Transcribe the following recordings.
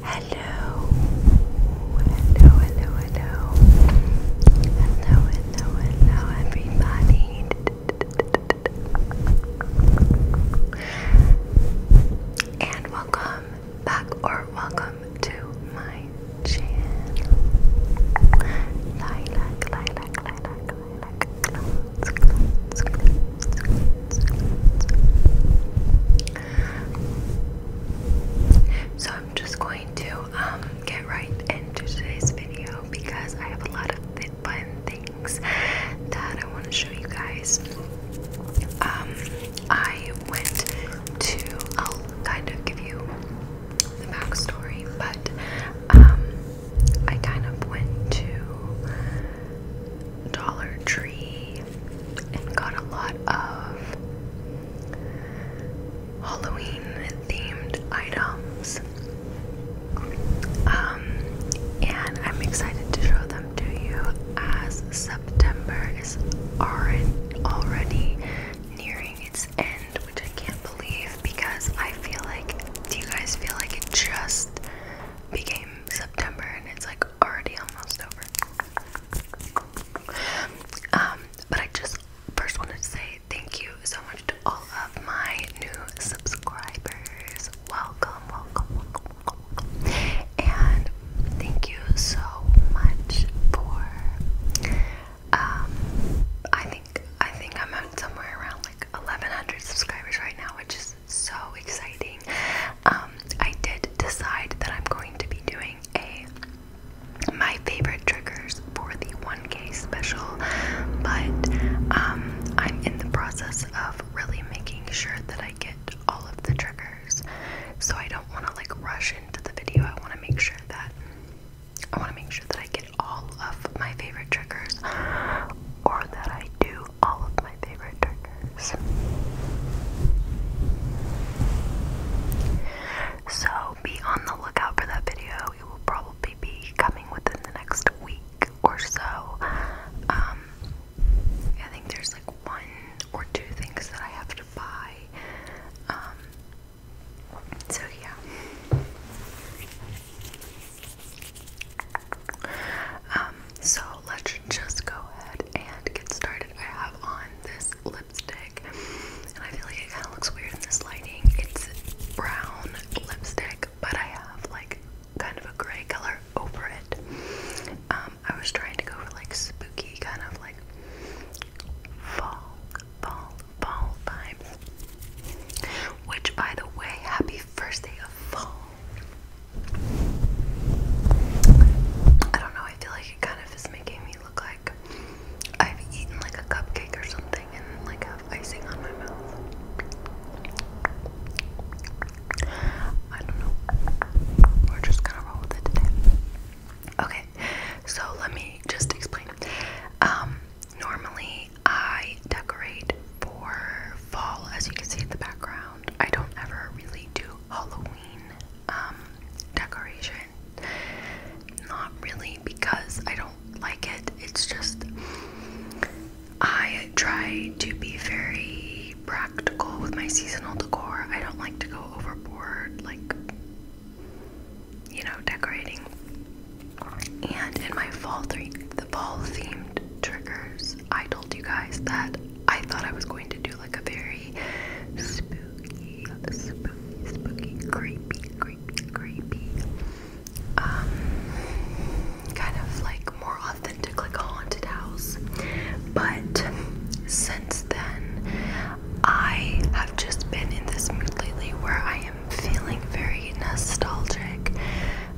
Hello, hello, hello, hello, hello, hello, hello, everybody. And welcome back, or welcome to my channel. Lilac, lilac, lilac, lilac, so I'm just going to um, get right into today's video because I have a lot of fun things that I want to show you guys. Um, I went to, I'll kind of give you the backstory, but um, I kind of went to Dollar Tree and got a lot of Halloween themed items. Um, and I'm excited to show them to you as September is already nearing its end, which I can't believe because I feel like, do you guys feel like it just became September and it's like already almost over. Um, but I just first wanted to say thank you so much to all of my new subscribers. Welcome, welcome, welcome, And thank you so much for um, I think I think I'm at somewhere around like 1100 subscribers right now, which is so exciting. Um, I did decide that I'm going to be doing a my favorite triggers for the 1K special, but um, I'm in the process of really making sure that I get all of the triggers. So I don't want to like rush into the video. I want to make sure that I want to make sure that I get all of my favorite triggers, or that I do all of my favorite triggers. So be on the lookout for that video. It will probably be coming within the next week or so. Um, I think there's like one or two things that I have to buy. Um, so yeah. Um, so let's just go ahead and get started. I have on this lipstick, and I feel like it kind of looks weird in this lighting. It's brown lipstick, but I have like kind of a gray color over it. Um, I was trying to go for like spooky, kind of like fall, fall, fall vibes. Which, by the way, happy first day of fall. I don't know, I feel like it kind of is making me look like I've eaten like a cupcake or something and like have icing on my mouth. I don't know. We're just gonna roll with it today. Okay, so let me just explain. Um, normally I decorate for fall, as you can see in the background. I don't ever really do Halloween um, decoration. Not really because I don't like it. It's just I try to be very practical with my seasonal decor. I don't like to go overboard, like, you know, decorating. And in my fall, th the fall themed triggers, I told you guys that I thought I was going to do like a very spooky, spooky, spooky, creepy, creepy, creepy, um, kind of like more authentic, like a haunted house. But since then, I have just been in this mood lately where I am feeling very nostalgic,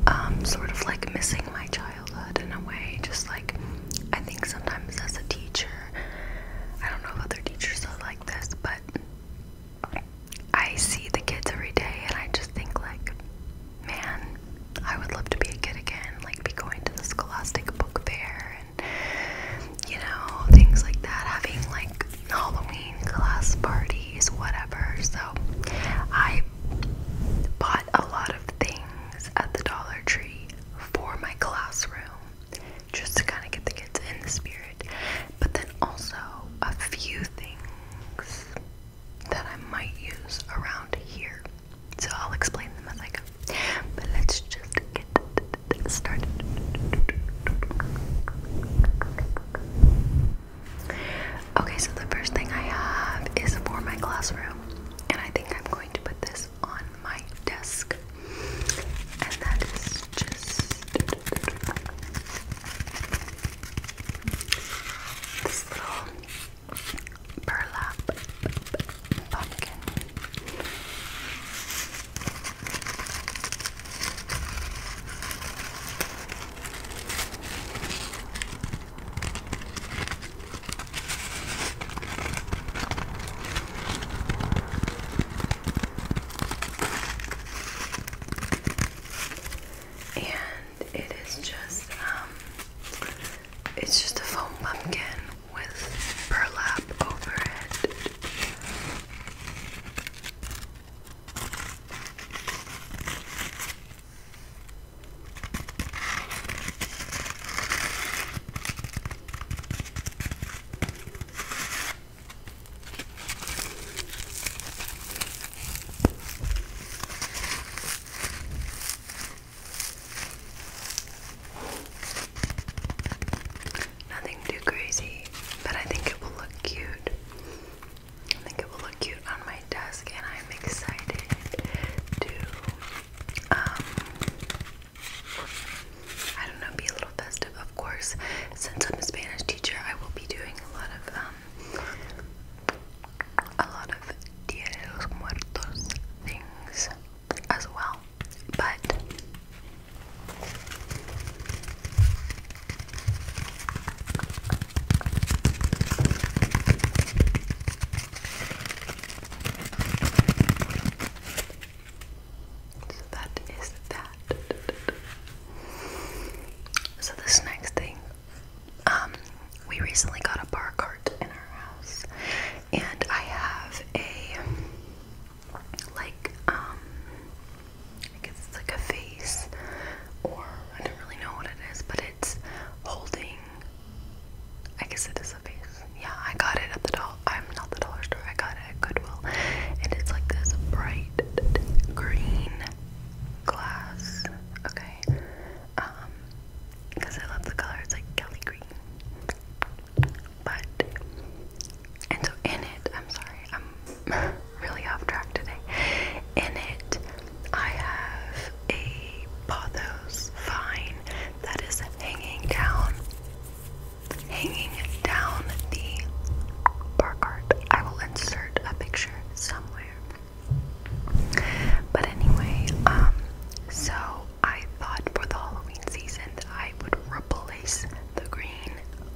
um, sort of like missing my childhood childhood in a way. Just like I think sometimes as a teacher, I don't know if other teachers are like this, but I see the kids every day and I just think like, man, I would love to be a kid again, like be going to the Scholastic Book Fair and you know, things like that, having like Halloween class parties, whatever. So I bought a lot of things at the Dollar Tree for my classroom just to kind of get the kids in the spirit, but then also a few things that I might use around here. So I'll explain them as I go. But let's just get started. Okay, so the first thing I have is for my classroom, and I think I'm going to put this on my desk. And that is just this little burlap pumpkin. And it is just um it's just a foam pumpkin with burlap over it. Nothing too crazy, but I think it will look cute. I think it will look cute on my desk, and I'm excited to, um, I don't know, be a little festive. Of course, since I'm a Spanish teacher, I will be doing a lot of, um, a lot of Dia de los Muertos things as well. But so that is that. So this next thing, um, we recently got a bar cart in our house, and I have a like um, it's like a face, or I don't really know what it is, but it it's holding. I guess it is a face. Yeah, I got it at the doll. I'm not the dollar store. I got it at Goodwill, and it's like this bright green glass. Okay, um, because I love the color. It's like Kelly green, but and so in it. I'm sorry. I'm really off track today. In it, I have a pothos vine that is hanging down, hanging down the bar I will insert a picture somewhere. But anyway, um, so I thought for the Halloween season that I would replace the green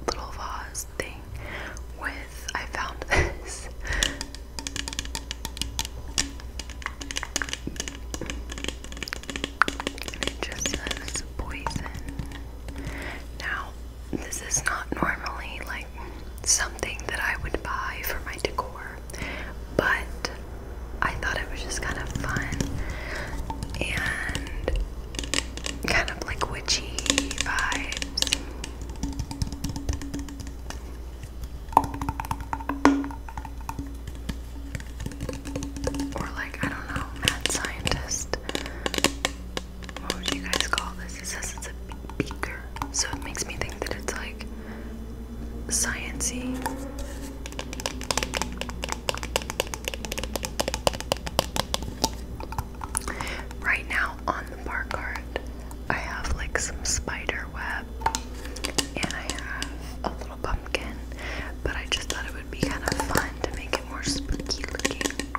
little vase thing with I found this it just says poison. Now this is not normally like something that I would buy for my decor, but I thought it was just kind of fun and kind of like witchy vibes. Or like, I don't know, mad scientist. What would you guys call this? It says it's a beaker. So it makes me think that it's like sciency. Right now on the bar cart, I have like some spider web and I have a little pumpkin, but I just thought it would be kind of fun to make it more spooky looking.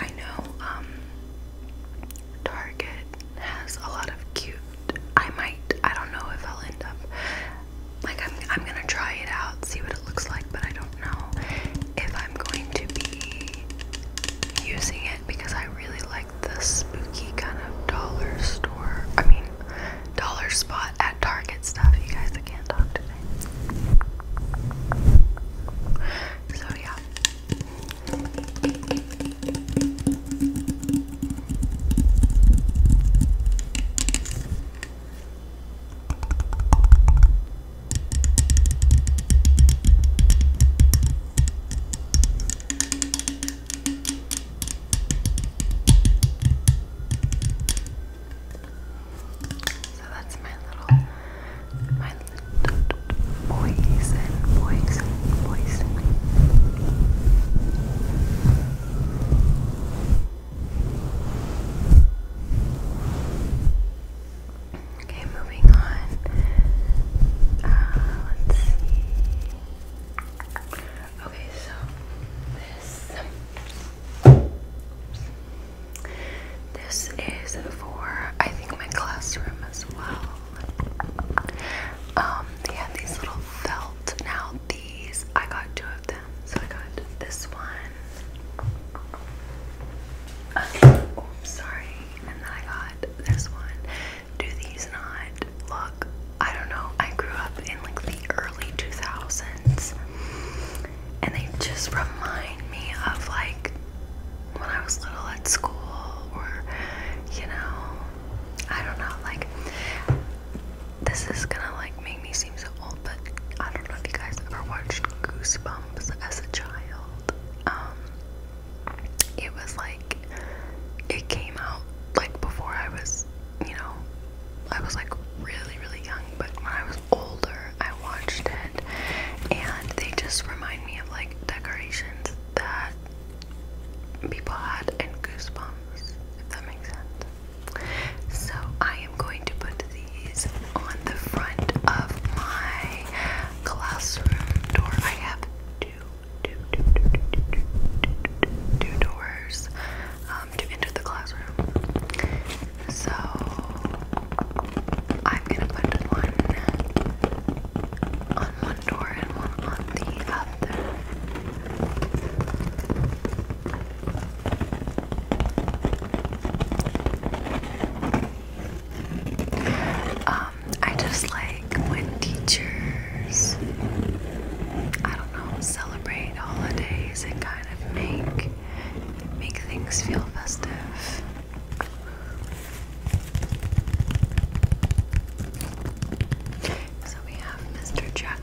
I know um Target has a lot of cute. I might, I don't know if I'll end up like I'm I'm gonna try it out, see what it looks like, but I don't know if I'm going to be using it because I really like the spooky kind of dollar store, I mean, dollar spot at Target stuff. You guys, I can't talk today. So, yeah. So that's my little, my little poison, poison, poison. Okay, moving on. Uh, let's see. Okay, so this this is for I think my classroom as well. Um, they have these little felt. Now these I got two of them, so I got this one. Uh, oh, oops, sorry and I got this one. Do these not look? I don't know. I grew up in like the early 2000s, and they just remind me of like when I was little at school, or you know, I don't know. Like, this is gonna like make me seem so old, but I don't know if you guys ever watched Goosebumps as a child. Um, it was like it came out like before I was, you know, I was like really, really young, but when I was older, I watched it, and they just remind me of like decorations that people had and Goosebumps, if that makes sense. So I am going to put these on the front of my classroom door. I have two, two, two, two, two, two, two, two doors um, to enter the classroom. So I'm gonna put one on one door and one on the other. Um, I just like when teachers, I don't know, celebrate holidays and kind of make make things feel festive. So we have Mr. Jack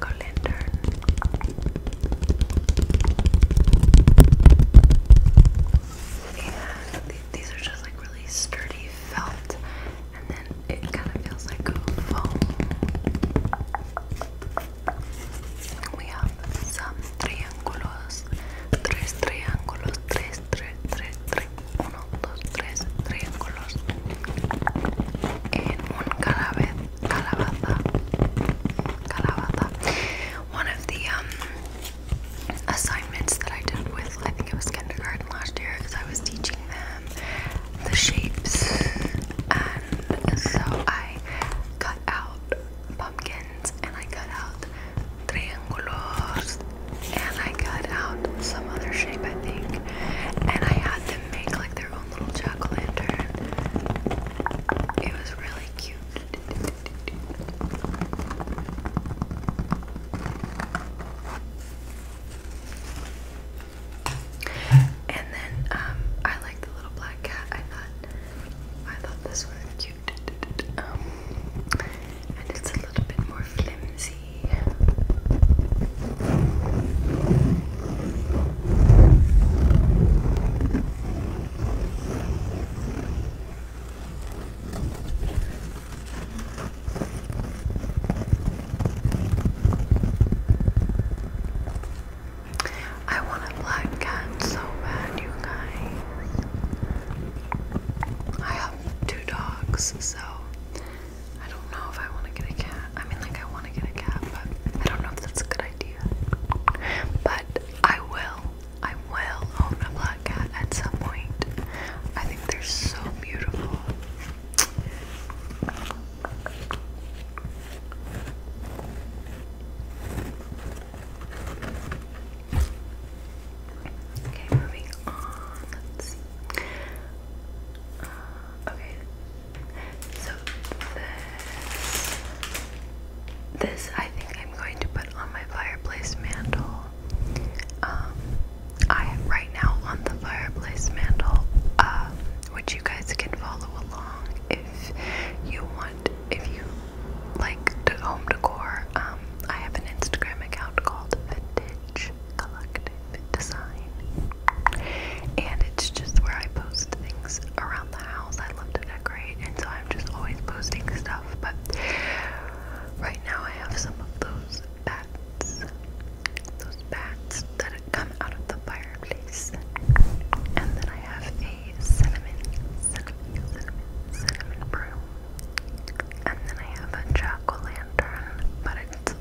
and these are just like really sturdy felt, and then it kind of feels like a foam. We have some triángulos, tres triángulos, tres, tres, one of the um, assignments that I did with, I think it was kindergarten last year, because I was teaching them the shapes, and so I cut out pumpkins, and I cut out triangulos, and I cut out some other shape, I think, and I had them make like their own little jack o' lantern. It was really cute. And then um, I like the little black cat. I thought I thought this was cute. Um, and it's a little bit more flimsy. I want a black cat so bad, you guys. I have two dogs, so I don't know if I want to get a cat. I mean, like, I want to get a cat, but I don't know if that's a good idea. But I will. I will own a black cat at some point. I think they're so beautiful. Okay, moving on. Let's see. Uh, okay, so this this I think I'm going to put on my fireplace mantle. Um, I right now on the fireplace mantle, uh, which you guys can follow along if you want, if you like to home decor. Um, I have an Instagram account called Vintage Collective Design, and it's just where I post things around the house. I love to decorate, and so I'm just always posting stuff. But right now, I have some of those bats, those bats that come out of the fireplace, and then I have a cinnamon, cinnamon, cinnamon, cinnamon broom, and then I have a jack lantern, but it's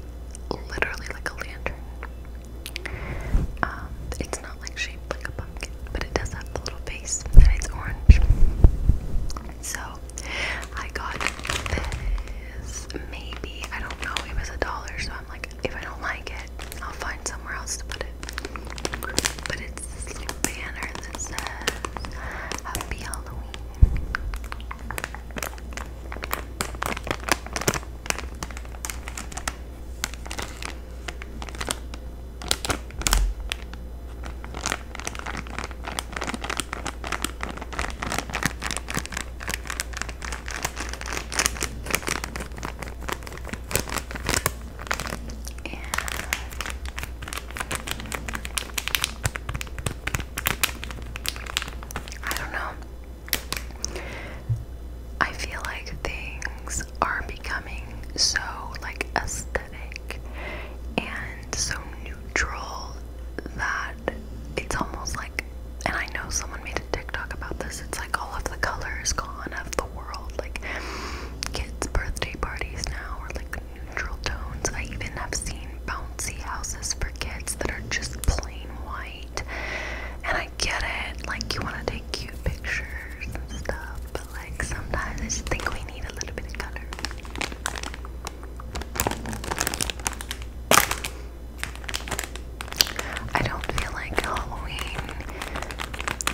literally like a lantern. Um, it's not like shaped like a but it does have the little face and it's orange. So I got this. Maybe I don't know. It was a dollar, so I'm like, if I don't like it, I'll find somewhere else to put it. But it's this banner that says Happy Halloween. I don't know. I feel like things are becoming so like aesthetic and so neutral that it's almost like and I know someone made a TikTok about this, it's like all of the colors gone of the world. Like kids' birthday parties now are like neutral tones. I even have seen bouncy houses for kids that are just plain white. And I get it, like you wanna take cute pictures and stuff, like sometimes I think we need a little bit of color. I don't feel like Halloween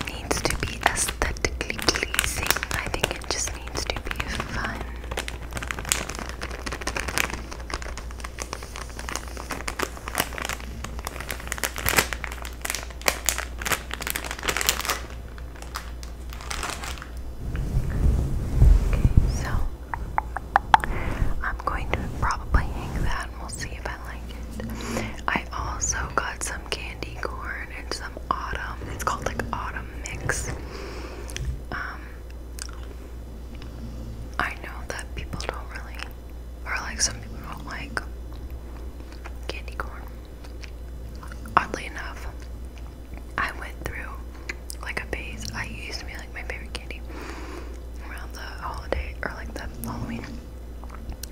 needs to be aesthetically pleasing. I think it just needs to be fun so I'm going to probably hang that and we'll see if I like it. I also got some candy corn and some autumn. It's called like autumn mix. Um, I know that people don't really or like some people don't like candy corn. Oddly enough, I went through like a phase. I used to be like my favorite candy around the holiday or like the Halloween.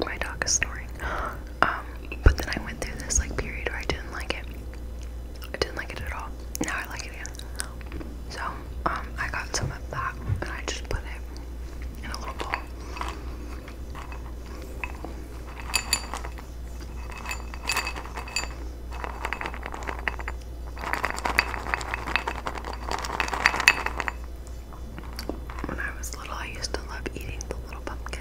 My dog is snoring. Um, but then I went through this like period where I didn't like it. I didn't like it at all. Now I like it again. So, um, I got some of that and I just put it in a little bowl. When I was little, I used to love eating the little pumpkins.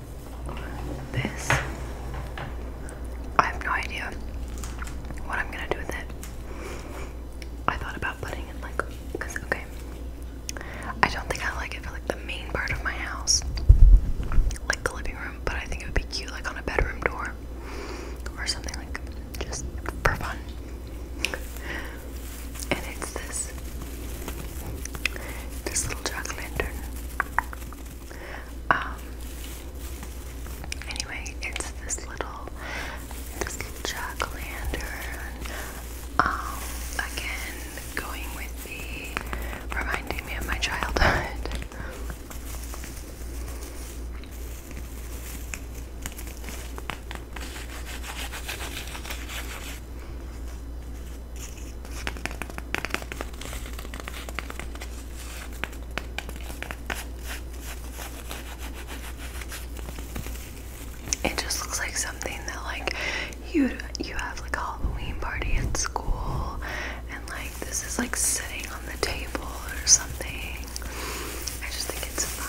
this. I have no idea what I'm gonna do with it. I thought about putting it like, okay, I don't think I like it for like the main part of my house, like the living room. But I think it would be cute, like on a bedroom door or something like, just for fun. And it's this, this little jack lantern. Um, anyway, it's this little, this little jack um, again, going with the reminding me of my childhood. It just looks like something that like you you have like a Halloween party at school and like this is like sitting on the table or something. I just think it's fun.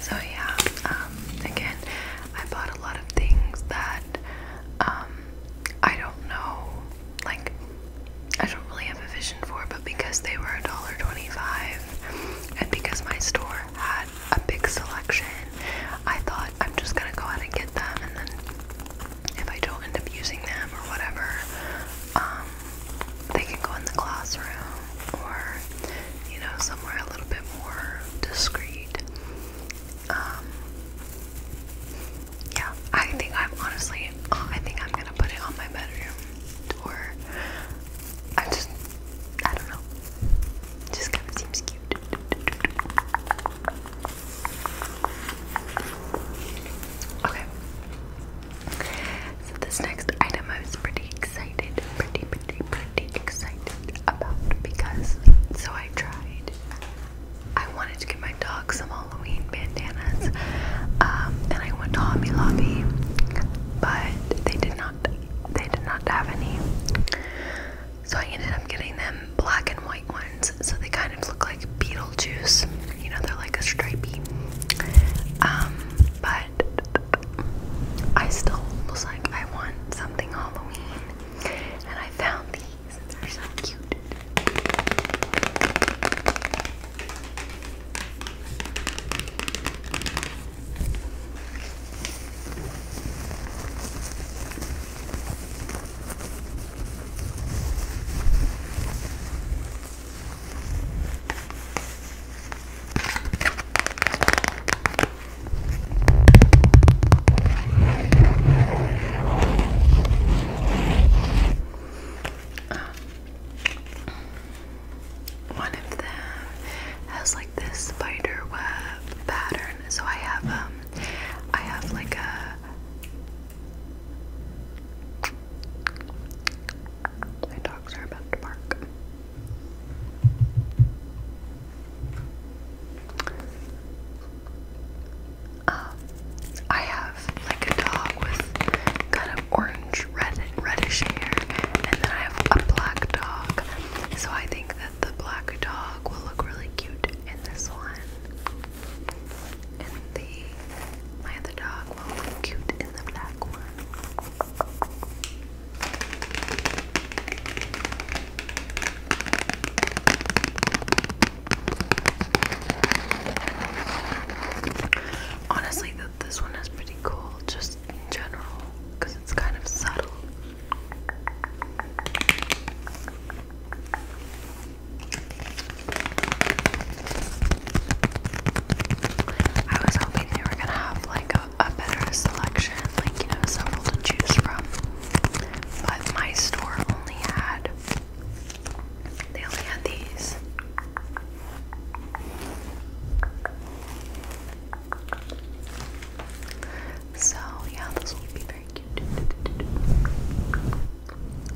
So yeah, um, again, I bought a lot of things that um, I don't know, like I don't really have a vision for, but because they were a dollar twenty-five, and because my store had a big selection, I thought I'm just gonna go out and get them, and then if I don't end up using them or whatever, um, they can go in the classroom or you know somewhere a little bit more discreet. Um, yeah, I think I'm honestly, I think I'm gonna put it on my bedroom door. I just, I don't know. Just kind of seems cute. Okay. So this next item, I was pretty excited, pretty, pretty, excited about because so I tried. I wanted to get my dog some Halloween bandanas, um, I went to Hobby Lobby, but they did not they did not have any. So I ended up getting them black and white ones, so they kind of look like Beetlejuice. You know, they're like a stripey. Um, but I still was like, I want something Halloween, and I found these. They're so cute. Um, one of them has like this spider web pattern. So I have um I have like a my dogs are about to bark. Um, I have like a dog with kind of orange, red, reddish hair, and then I have a black dog. So I think that the black dog will look really cute in this one, and the my other dog will look cute in the black one. Honestly, this one is pretty cool, just in general, because it's kind of subtle. I was hoping they were gonna have like a a better selection, like you know, several to choose from. But my store only had they only had these. So yeah, this will be very cute.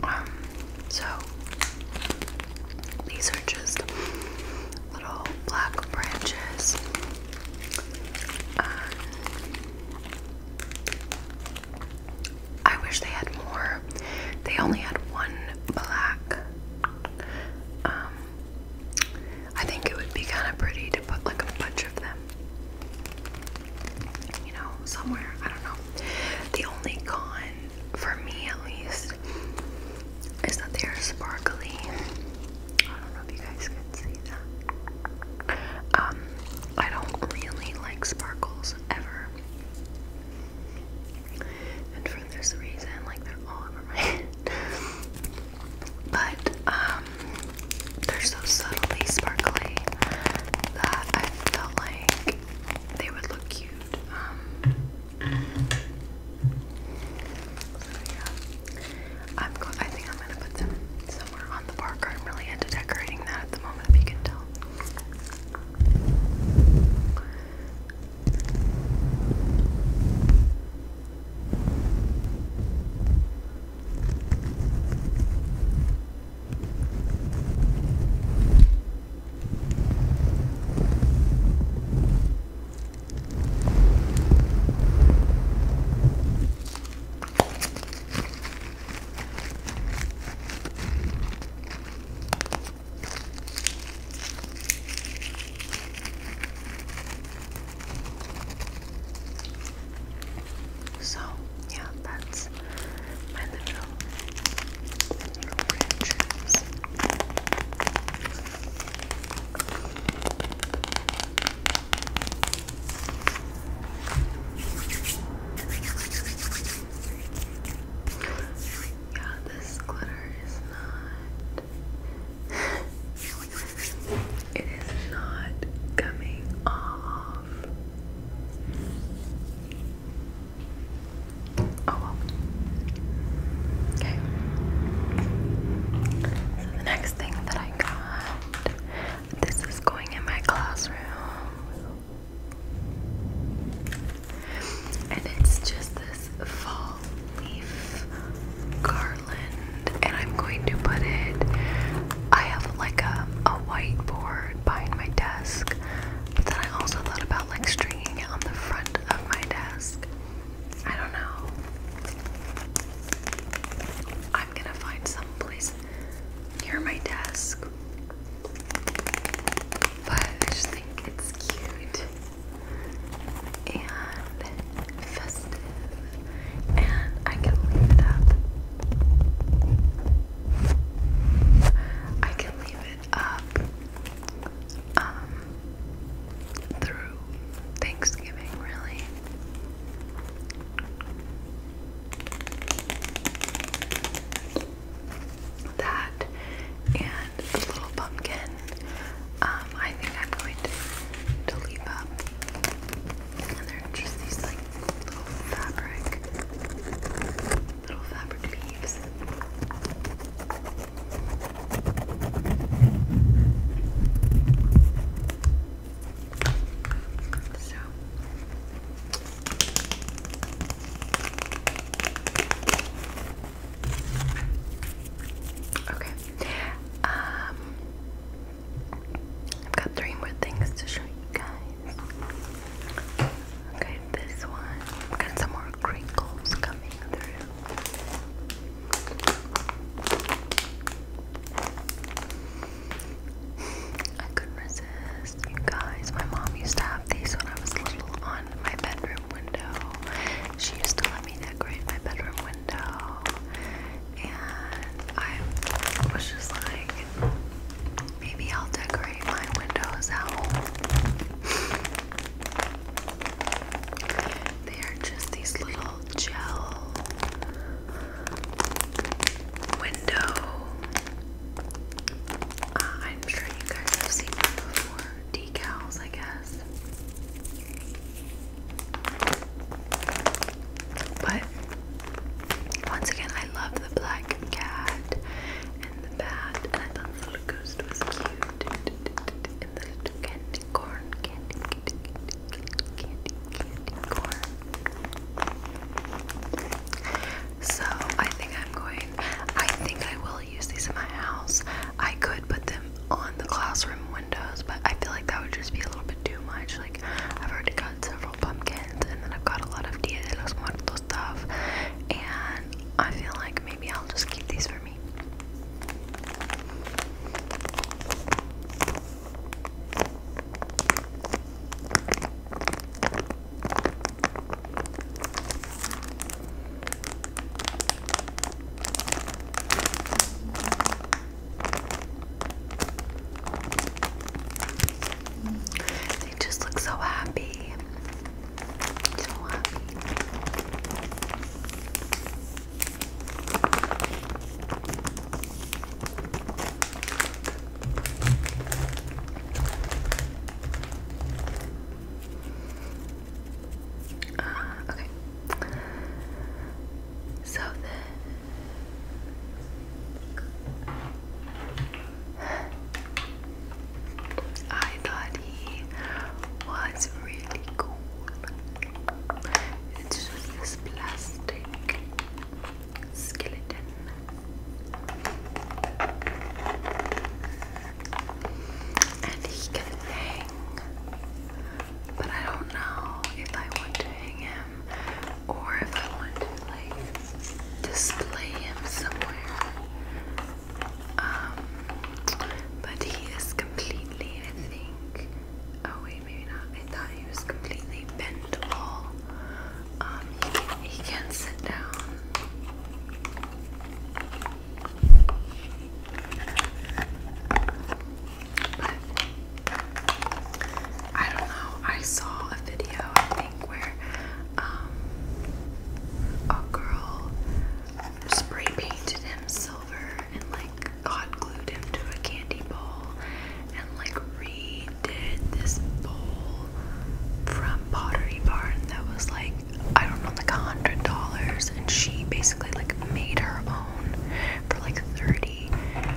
Um, so these are just little black branches. Uh, I wish they had more. They only had one black. Um, I think it would be kind of pretty to put like a bunch of them, you know, somewhere. I don't know. The only con, for me at least, is that they are sparkly. I don't know if you guys can see that. Um, I don't really like sparkles ever. And for this reason, like they're all over my head. But um they're so subtly sparkly that I felt like they would look cute. Um so yeah, I'm I think I'm gonna put them somewhere on the bar I'm really into decorating that at the moment, if you can tell. So, yeah, that's my little, little branches. Yeah, this glitter is not. it is not coming off. Oh Okay. the next thing that I got, this is going in my classroom. And it's just this fall leaf garland, and I'm going to put it. I have like a, a whiteboard behind my desk, but then I also thought about like stringing it on the front of my desk. I don't know. I'm gonna find some place near my desk. But I just think it's cute and festive, and I can leave it up. I can leave it up. Um, through Thanksgiving, really. That and the little pumpkin, um, I think I'm going to, to up. And they're just these like little fabric, little fabric leaves. So Okay. Um I've got three more things to show you guys. Okay, this one. got some more crinkles coming through. I couldn't resist. guys, my mom used to have these when I was little on my bedroom window. She used to let me decorate my bedroom window. And I was just like, maybe I'll decorate my windows at home. They are just these little gel window. Uh, I'm sure you guys have seen them before. Decals, I guess. But once again, I love the black cat and the bat, and I so I think I'm going. I think I will use these in my house. I could put them on the classroom windows, but I feel like that would just be a little bit too much. Like I've already got several pumpkins, and then I've got a lot of Dia de los Muertos stuff, and I feel like maybe I'll just keep these for they just look so happy. Ah, okay. So I thought he was really really just this plastic skeleton. And he can hang. But I don't know if I want to hang him or if I want to like display him somewhere. Um, but he is completely, I think. Oh wait, maybe not. I thought he was completely bendable. Um, he can, sit down. But I don't know. I saw a video I think where um, a girl spray painted him silver and like hot glued him to a candy bowl and like redid this bowl from Pottery Barn that was like I don't know like a hundred dollars and she basically like made her own for like 30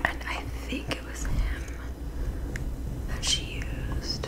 and I think it was him that she used.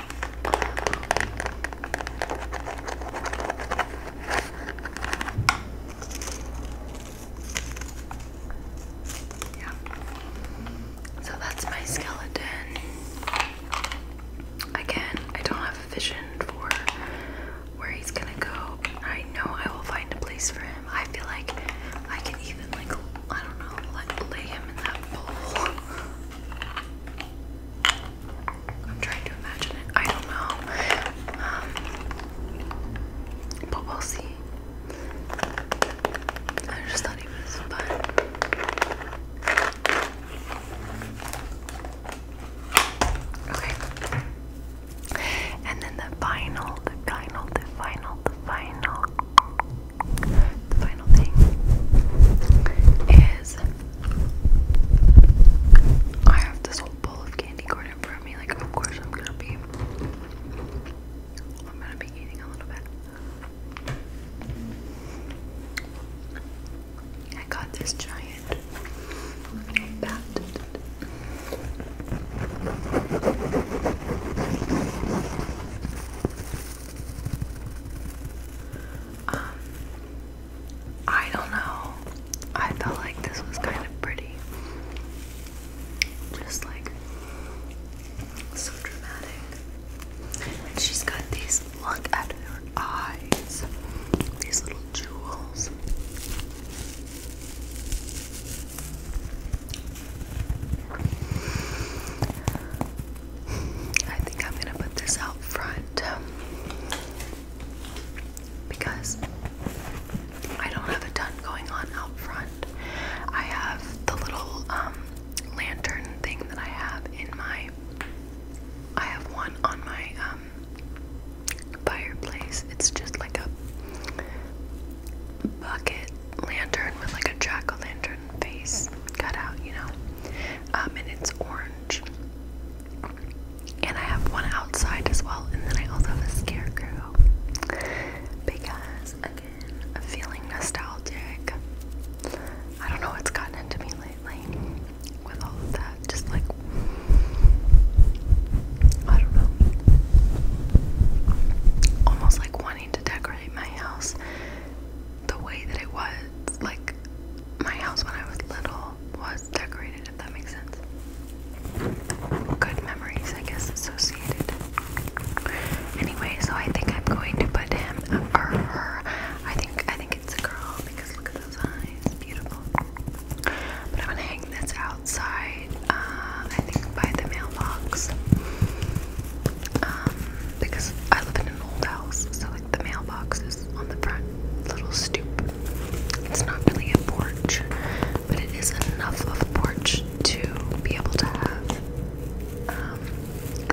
Yeah. So that's my skeleton. Again, I don't have a vision for where he's gonna go. I know I will find a place for him. I feel like I can even like I don't know, like lay him in that bowl. I'm trying to imagine it. I don't know. Um, but we'll see. I just thought he was fun. Okay. And then the final, the final, the final, the final, the final thing is I have this whole bowl of candy corn in front of me. Like, of course, I'm gonna be, I'm gonna be eating a little bit. I got this giant I don't know. I felt like this was kind of pretty. Just like so dramatic. she's got these look at her eyes. These little jewels. I think I'm gonna put this out front um, because I don't have a ton going on out front. I have the little um, lantern thing that I have in my. I have one on my um, fireplace. It's just like a bucket lantern with like a jack o' lantern face cut out, you know um, and it's orange. And I have one outside as well, and then I also have a scarecrow because, again, I'm feeling nostalgic. I don't know what's gotten into me lately with all of that. Just like, I don't know. Almost like wanting to decorate my house the way that it was like my house when I was little was decorated, if that makes sense. Good memories, I guess, associated. Anyway, so I think I'm going to put him or her. I think I think it's a girl because look at those eyes, beautiful. But I'm gonna hang this outside. Uh, I think by the mailbox. Um, because I live in an old house, so like the mailbox is on the front little stoop. It's not really a porch, but it is enough of a porch to be able to have um,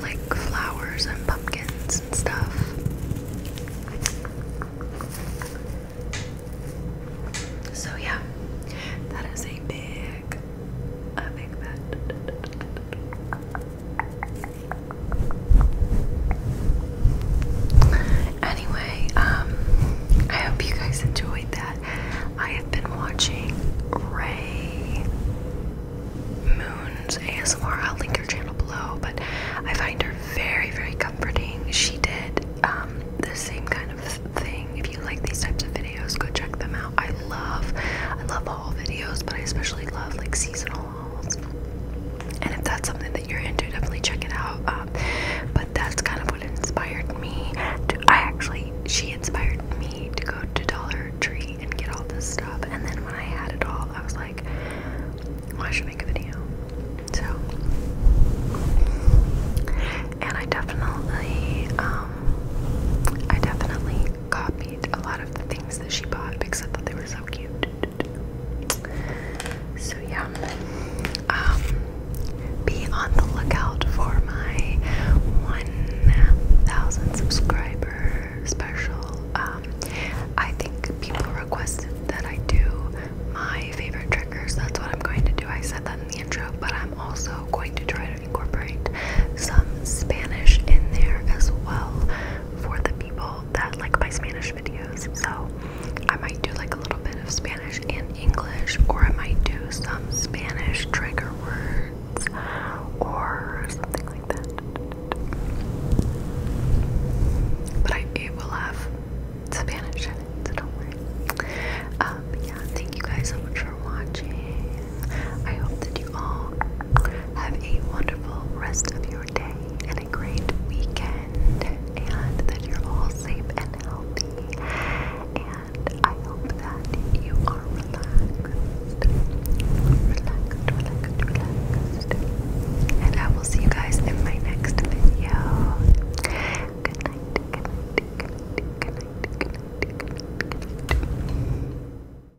like flowers and pumpkins and stuff. So yeah, that is a big, a big Anyway, um, I hope you guys enjoyed that. I have been watching Ray Moon's ASMR. I'll link her channel below, but I find her very, very comforting. She did um, the same kind of thing. If you like these types of videos, go check them out. I love, I love all videos, but I especially love like seasonal and if that's something that you're into definitely check it out um, but that's kind of what inspired me to i actually she inspired me to go to dollar tree and get all this stuff and then when i had it all i was like well, i should make a video so and i definitely um, i definitely copied a lot of the things that she bought except that thought they were so cute. So yeah. Um, be on the lookout for my 1000 subscriber special. Um, I think people requested that I do my favorite triggers. That's what I'm going to do. I said that in the intro, but I'm also going to try to incorporate some Spanish in there as well for the people that like my Spanish videos. So I might do like a little bit of Spanish and English, or I might do some Spanish trigger words or something like that. But I, it will have Spanish so don't worry. Um, yeah, thank you guys so much for watching. I hope that you all have a wonderful rest of your day and a great weekend, and that you're all safe and healthy. And I hope that you are relaxed, relaxed, relaxed, relaxed. And I will see you guys in my next video. Good night, good night, good night, good night, good night. Good night.